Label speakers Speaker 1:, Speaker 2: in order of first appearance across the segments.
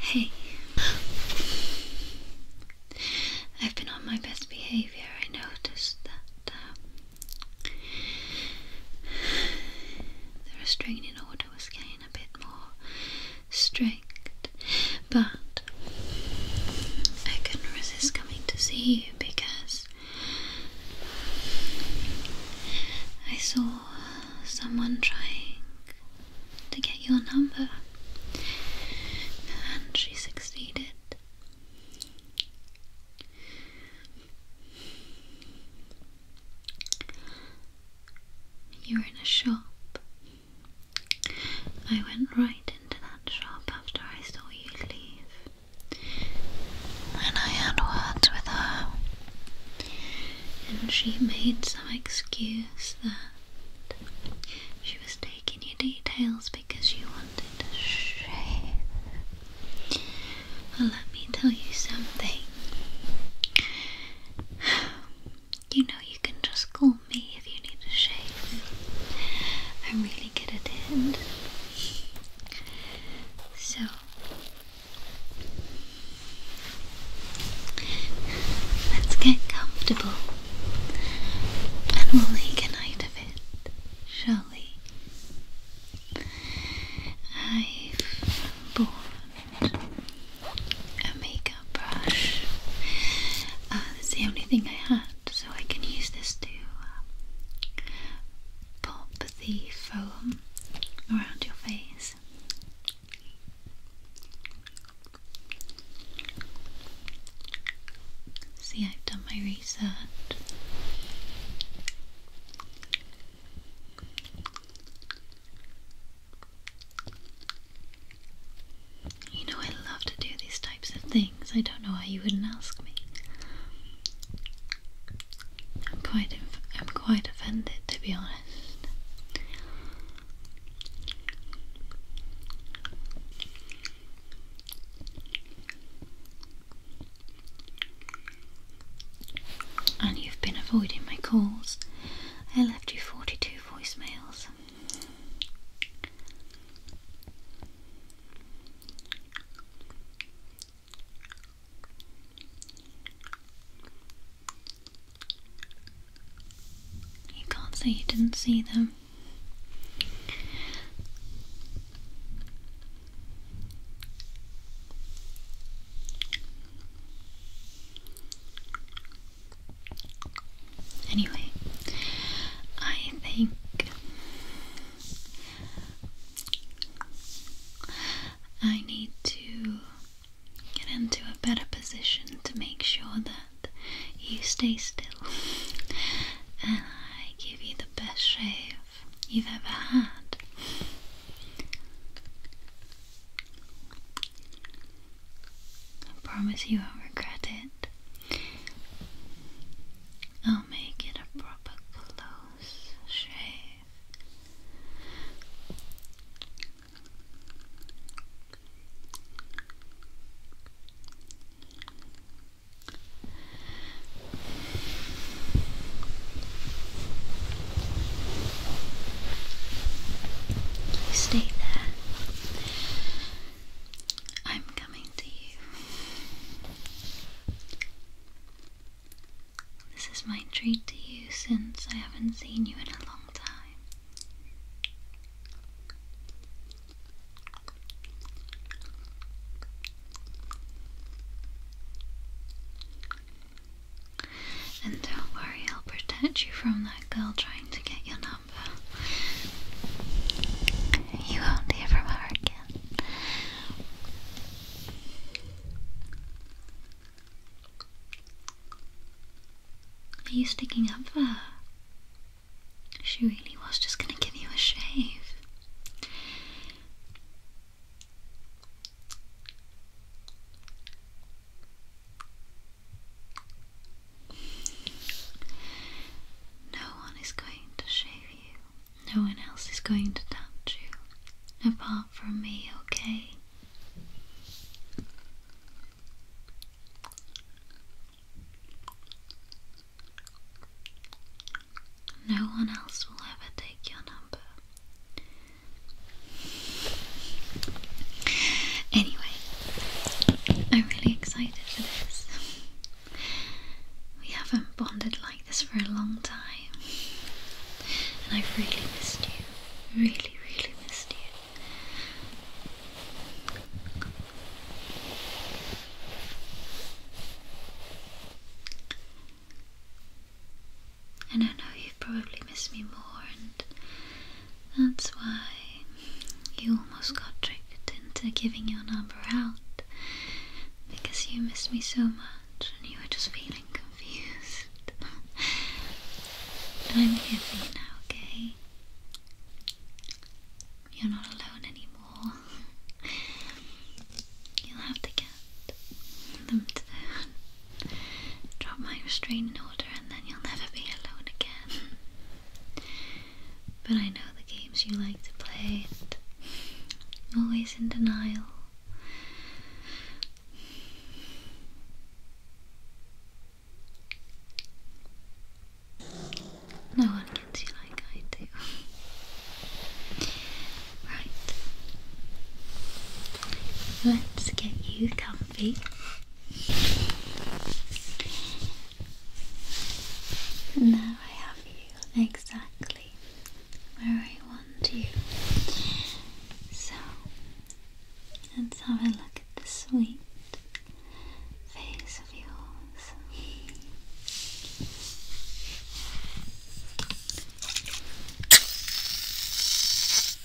Speaker 1: Hey, I've been on my best behavior. I noticed that um, the restraining order was getting a bit more strict, but I couldn't resist coming to see you because I saw someone trying to get your number and she succeeded. You're in a shop I went right into that shop after I saw you leave, and I had words with her, and she made some excuse that she was taking your details because you wanted to shave. But let me tell you something you know you can just call me if you need a shave. I'm really good at it. So let's get comfortable and we'll make a night of it, shall we? I've bought a makeup brush. Uh, that's the only thing I had, so I can use this to uh, pop the foam around your face. See, I've done my research. You know, I love to do these types of things. I don't know why you wouldn't ask me. I'm quite, I'm quite offended, to be honest. And you've been avoiding my calls. I left you 42 voicemails. You can't say you didn't see them. Anyway, I think I need to get into a better position to make sure that you stay still and I give you the best shave you've ever had. I promise you won't regret it. I'll make it a proper close shave. You stay there. I'm coming to you. This is my treat to you since I haven't seen you in a long time. And don't worry, I'll protect you from that girl trying to get your number. You won't hear from her again. Are you sticking up for her? She really was just gonna give you a shave. No one is going to shave you. No one else is going to touch you. Apart from me, okay? No one else will ever take your number. Anyway, I'm really excited for this. We haven't bonded like this for a long time, and I've really missed you. Really, really missed you. And I know you've probably missed me more, and that's why you almost got tricked into giving your number out. Because you missed me so much and you were just feeling confused. I'm here for you now, okay? You're not alone anymore. You'll have the cat drop my restraining order and then you'll never be alone again. But I know the games you like to play always in denial. No one gets you like I do. right. Let's get you comfy. V. I have you exactly where I want you. So let's have a look at the sweet face of yours.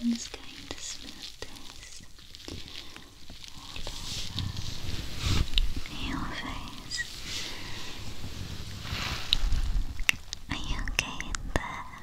Speaker 1: I'm just going to smooth this all your face. Are you okay in there?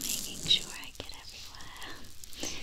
Speaker 1: Making sure I get everywhere. Okay,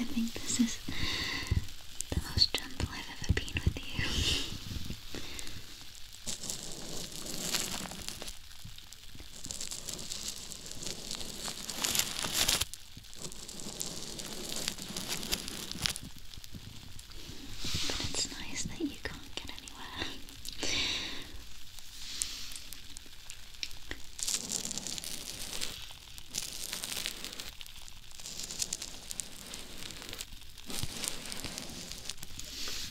Speaker 1: I think this is the most gentle I've ever been with you. But it's nice that you can't get anywhere. You're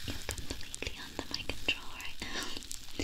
Speaker 1: completely under my control right now.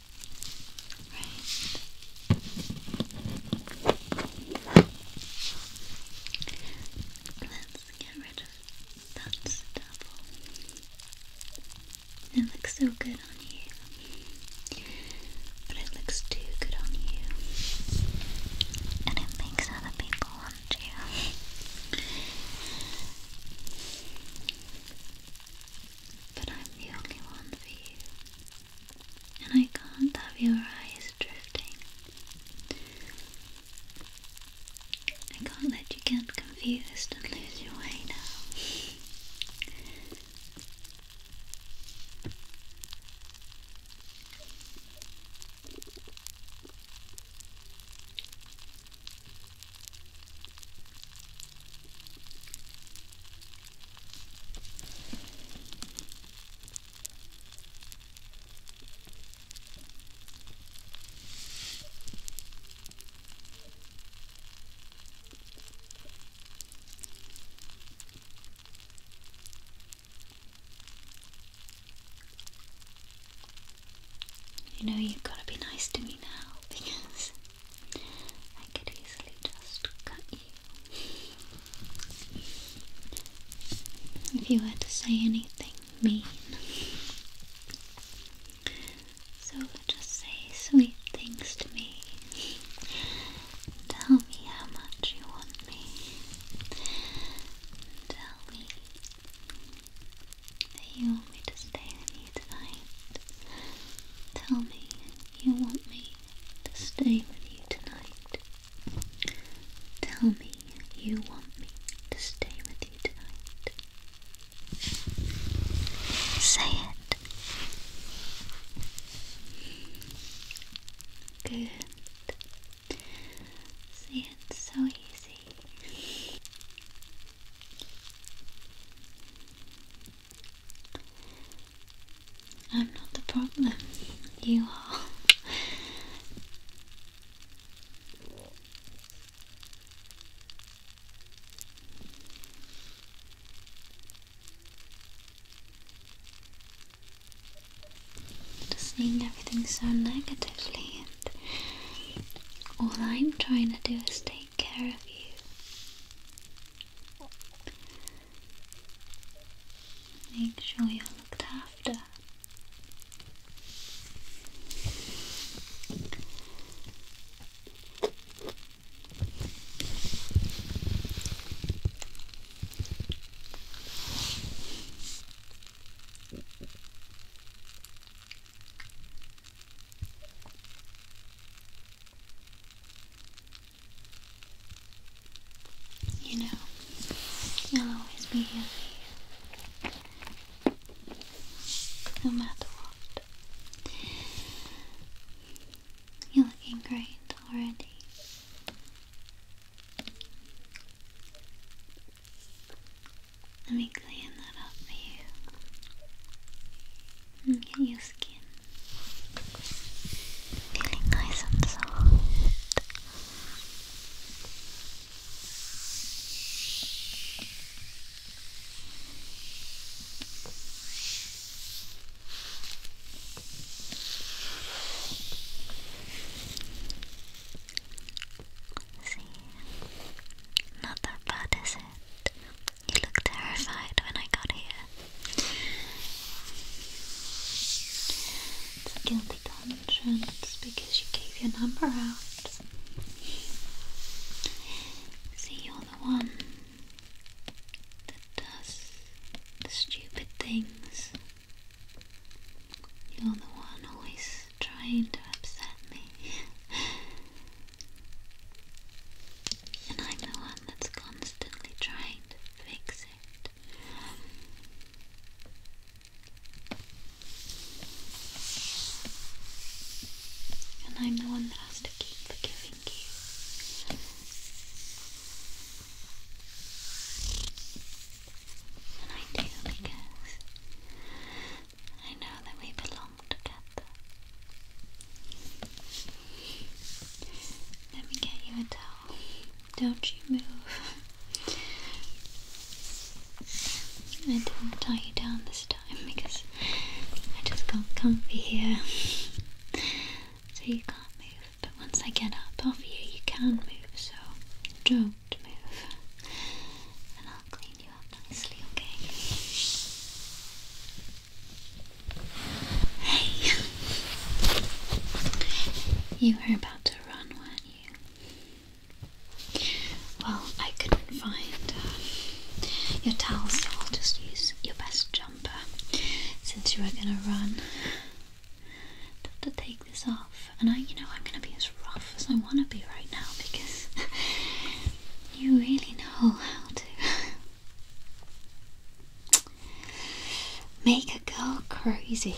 Speaker 1: Let's get rid of that stubble. It looks so good on you. But it looks too good on you. And it makes other people want you but I'm the only one for you, and I can't have your eyes drifting. I can't let you get confused and lose your way now. You know, you've got to be nice to me now because I could easily just cut you. If you were to say anything mean. So just say sweet things to me. Tell me how much you want me. Tell me you want me to stay with you tonight? Tell me you want me to stay with you tonight. Tell me you want me to stay with you tonight. Say it. Good. See, so easy. I'm not the problem. You are. Just seeing everything so negatively, and all I'm trying to do is stay care of you. Make sure you're looked after. You know, I'll always be here No matter what. You're looking great already. Let me clean that up for you. And get your skin feeling nice and soft. See, not that bad, is it? You look terrified when I got here. guilty conscience because you gave your number out. See, you're the one that does the stupid things. You're the one always trying to upset me. and I'm the one that's constantly trying to fix it. And I'm the one that has to keep forgiving you. And I do because I know that we belong together. Let me get you a towel. Don't you move. I didn't tie you down this time because I just got comfy here. so you can't move. But once I get up off you, you can move. So don't move. And I'll clean clean you up nicely, okay? Hey! You were about to run, weren't you? Well, I couldn't find uh, your towel, so I'll just use your best jumper since you were gonna run. Have to take this off, and I, you know, I'm gonna be as rough as I wanna be right now because you really know how to make a girl crazy.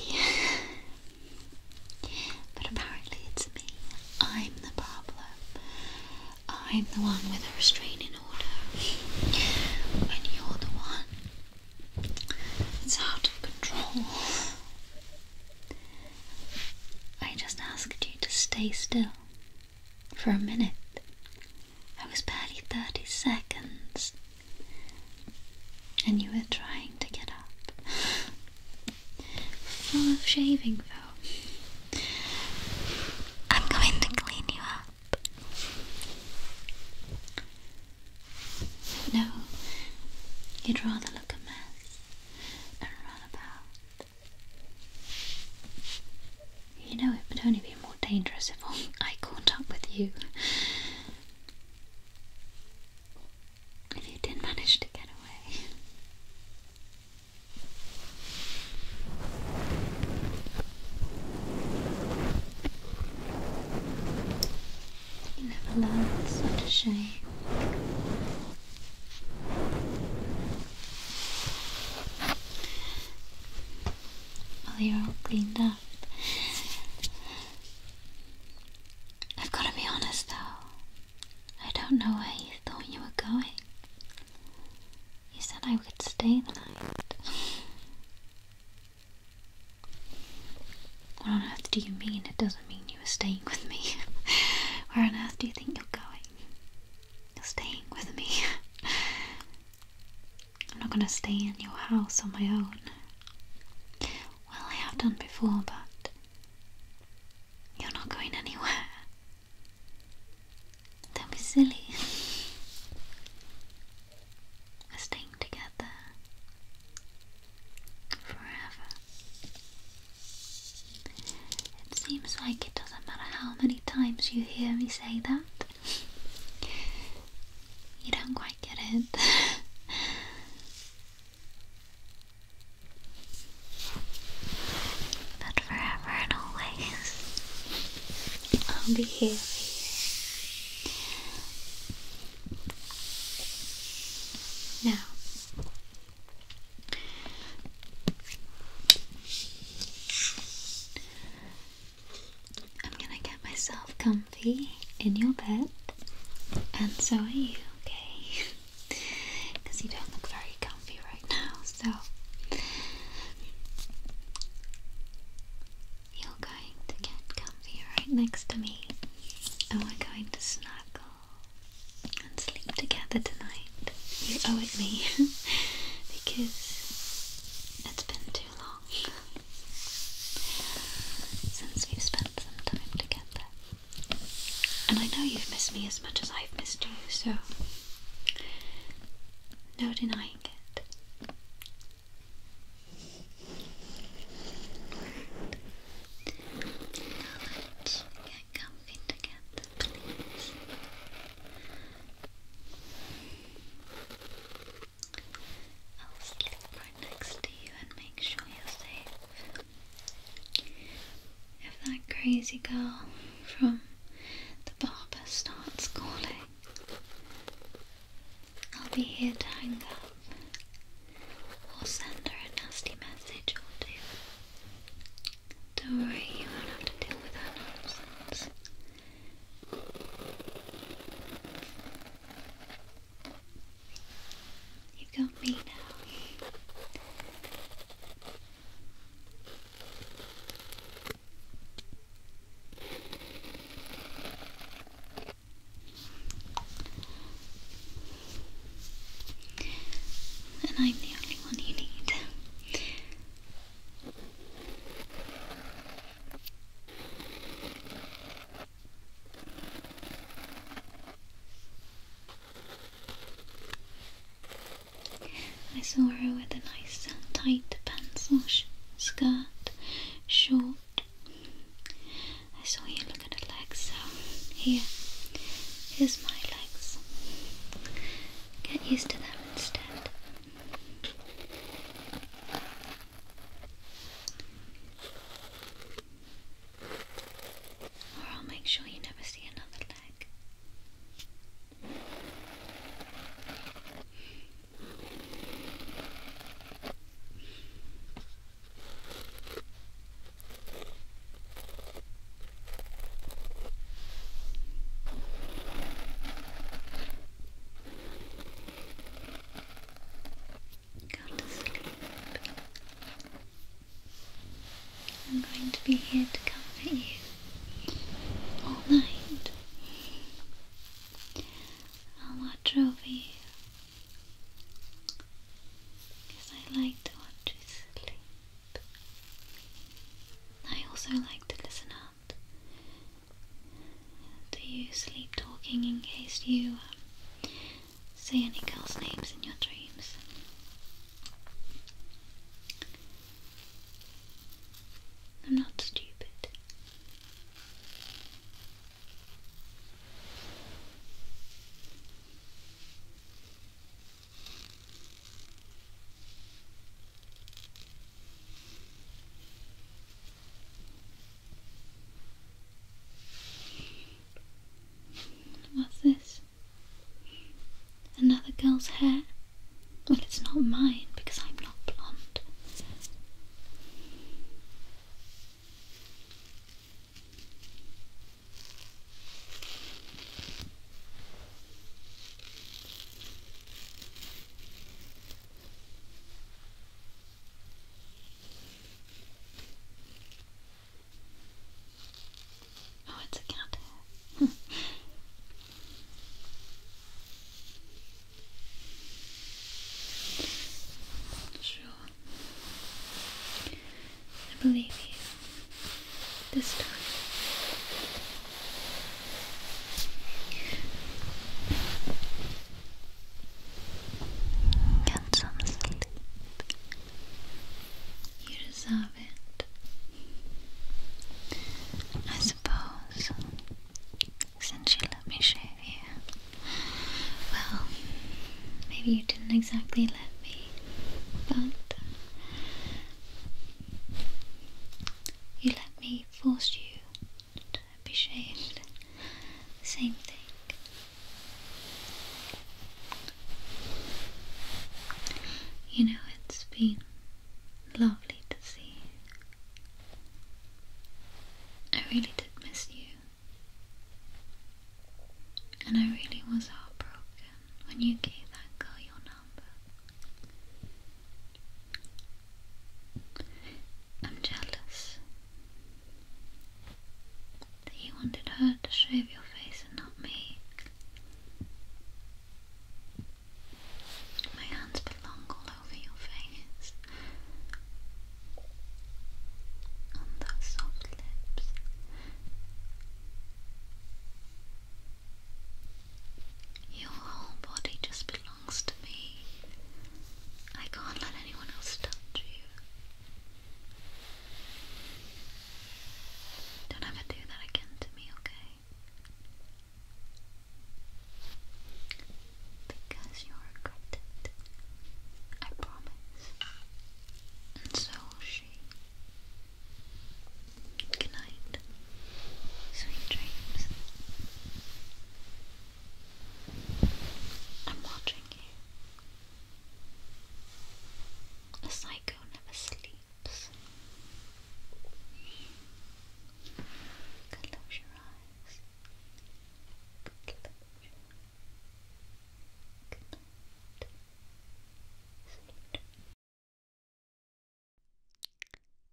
Speaker 1: but apparently it's me. I'm the problem. I'm the one with a restraining order. And you're the one. It's out of control. I just asked you to stay still for a minute. It was barely 30 seconds, and you were trying to get up. Full of shaving foam. I'm going to clean you up. No, you'd rather look a mess and run about. You know, it would only be more dangerous if I caught up with you. If you did not manage to get away. You never learn such a shame. Well, you're all cleaned up. I've got to be honest though. I don't know where you thought you were going. You said I would stay the night. what on earth do you mean it doesn't mean you you are staying with me. Where on earth do you think you're going? You're staying with me. I'm not gonna stay in your house on my own. Well, I have done before, but you're not going anywhere. Don't be silly. We're staying together forever. It seems like it doesn't matter how many times you hear me say that. you don't quite get it. but forever and always, I'll be here Now, I'm gonna get myself comfy in your bed, and so are you, okay? you don't look very comfy right now, so you're going to get comfy right next to me, and we're going to snuggle and sleep together tonight. You owe it me because it's been too long since we spent some time together. And I know you've missed me as much as I've missed you, so no denying it get comfy together, please. I'll sleep right next to you and make sure you're safe. If that crazy girl from the barber starts calling, I'll be here to hang up or send her a nasty message or two. Don't worry, you won't have to deal with her nonsense. You've got me now. And I'm the only one you need. I saw her with a nice tight pencil skirt, short, I saw you looking at the legs, so here, here's my legs. Get used to them instead. Or I'll make sure you never see another leg. Go to sleep. I'm going to be here to comfort you all night. I'll watch over you I like to watch you sleep. I also like to listen out to you sleep talking in case you um, say any girls' names in your dreams. I'm not stupid. What's this? Another girl's hair? Well, it's not mine because I'm not blonde. Oh, it's a cat sure. I believe you this time. Get some sleep. You deserve it. I suppose since you let me shave you. Well, maybe you didn't exactly let me, but you let me force you to be shaved. same thing. You know, it's been lovely to see I really did miss you. And I really was heartbroken when you gave that girl your number. I'm jealous that you wanted her to shave your face and not me. My hands belong all over your face. Your whole body just belongs to me. I can't let anyone else touch you. Don't ever do that again to me, okay? Because you'll regret I promise. And so she. Good night. Sweet dreams. I'm watching you. A psycho never sleeps. Close your eyes. Close Good night.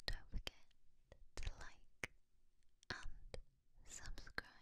Speaker 1: Don't forget to like and subscribe.